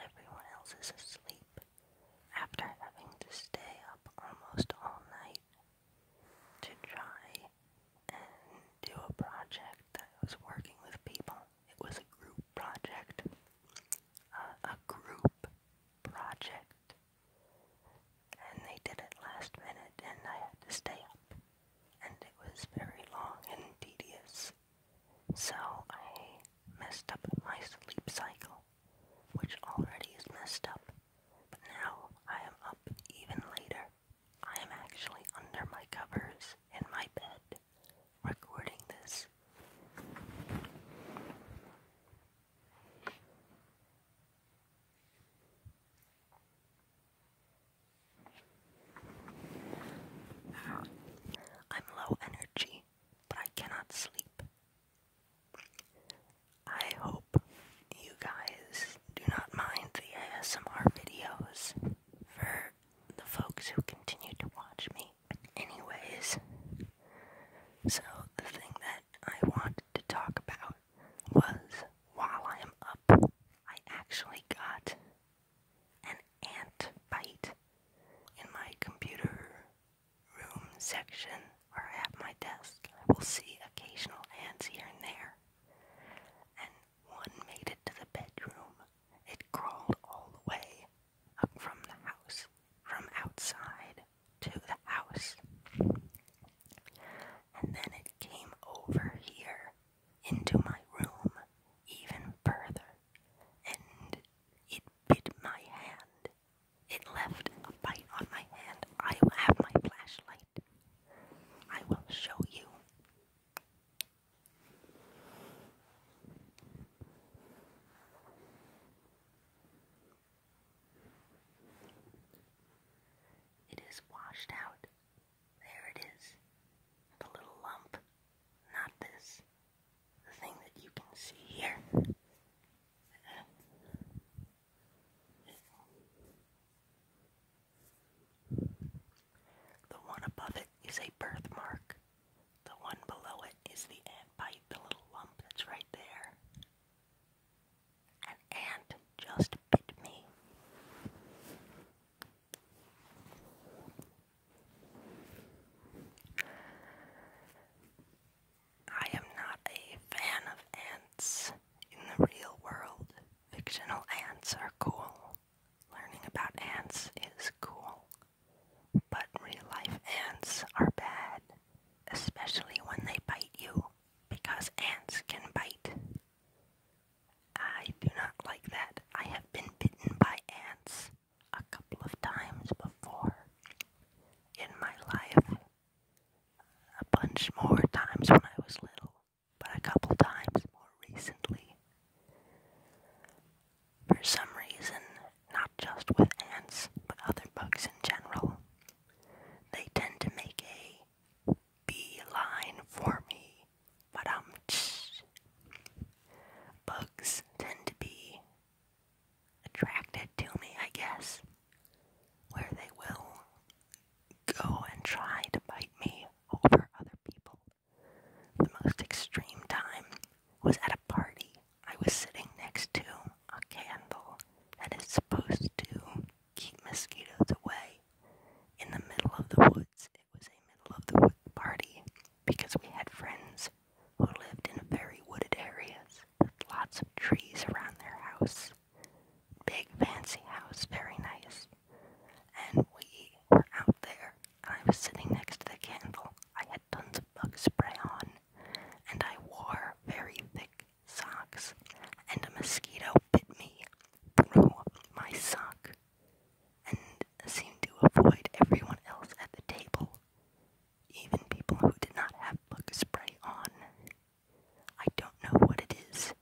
Everyone else is asleep after having to stay up almost all night to try and do a project I was working with people. It was a group project. a group project. And they did it last minute, and I had to stay up. And it was very long and tedious. So I messed up my sleep cycle, which already is messed up, but now I am up even later. I am actually under my covers in my bed recording this. I'm low energy but I cannot sleep. I hope you guys do not mind the ASMR videos for the folks who continue to watch me. Anyways, so the thing that I wanted to talk about was while I am up, I actually got an ant bite in my computer room section or at my desk. I will see occasional ants here and there. And one made it to the bedroom. It crawled all the way up from the house, from outside to the house. And then it came over here into my room even further and it bit my hand. It left a bite on my hand. I have my flashlight. I will show you. It is washed out. There it is. The little lump. Not this the thing that you can see here the one above it is a birthmark. The one below it is the ant bite, the little lump that's right there. An ant just bit me. I am not a fan of ants in the real world. Fictional ants are cool. Learning about ants is cool. But real life ants are bad, especially when they bite you, because ants can bite. I do not like that. I have been bitten by ants a couple of times before in my life. A bunch more times when I was little, but a couple times more recently. For some reason, not just with ants, but other bugs in general, they tend to make a beeline for me but um, bugs tend to be attracted to me, I guess, where they will go and try to bite me over other people. The most extreme time was at a party. I was sitting next to a candle that is supposed to keep mosquitoes away in the middle of the woods. It was a middle of the party because we had friends who lived in very wooded areas with lots of trees around their house. Big fancy house, very nice. And we were out there, and I was sitting next to the candle. I had tons of bug spray on, and I wore very thick socks, and a mosquito bit me through my sock and seemed to avoid everyone else at the table, even people who did not have bug spray on. I don't know what it is.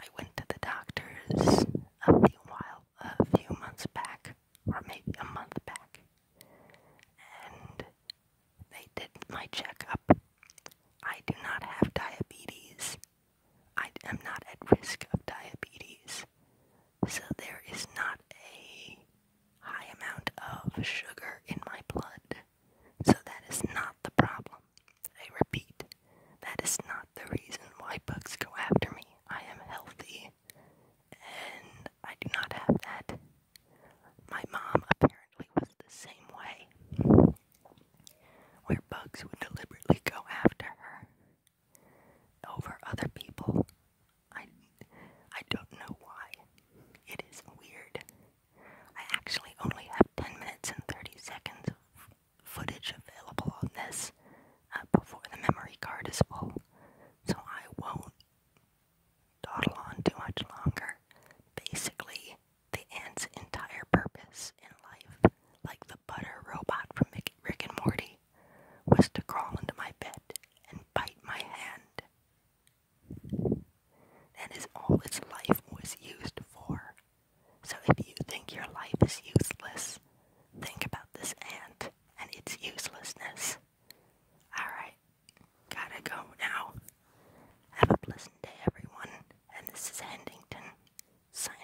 I went to the doctor's a few while a few months back, or maybe a month back, and they did my checkup. I do not have diabetes. I am not at risk of diabetes. So there is not a high amount of sugar in my blood. So that is not the problem. I repeat, that is not the reason why bugs go after me. I am healthy and I do not have that. My mom apparently was the same way, where bugs would deliberately go after her over other people. I I don't know why. It is weird. I actually only have 10 minutes and 30 seconds of footage available on this uh, before the memory card is full, so I won't dawdle on too much longer. Basically, the ant's entire purpose in life like the butter robot from Rick and Morty, was to crawl into my bed and bite my hand. That is all its life was used for. So if you think your life is useless, think about this ant and its uselessness. Alright, gotta go now. Have a pleasant day, everyone, and this is Hendington signing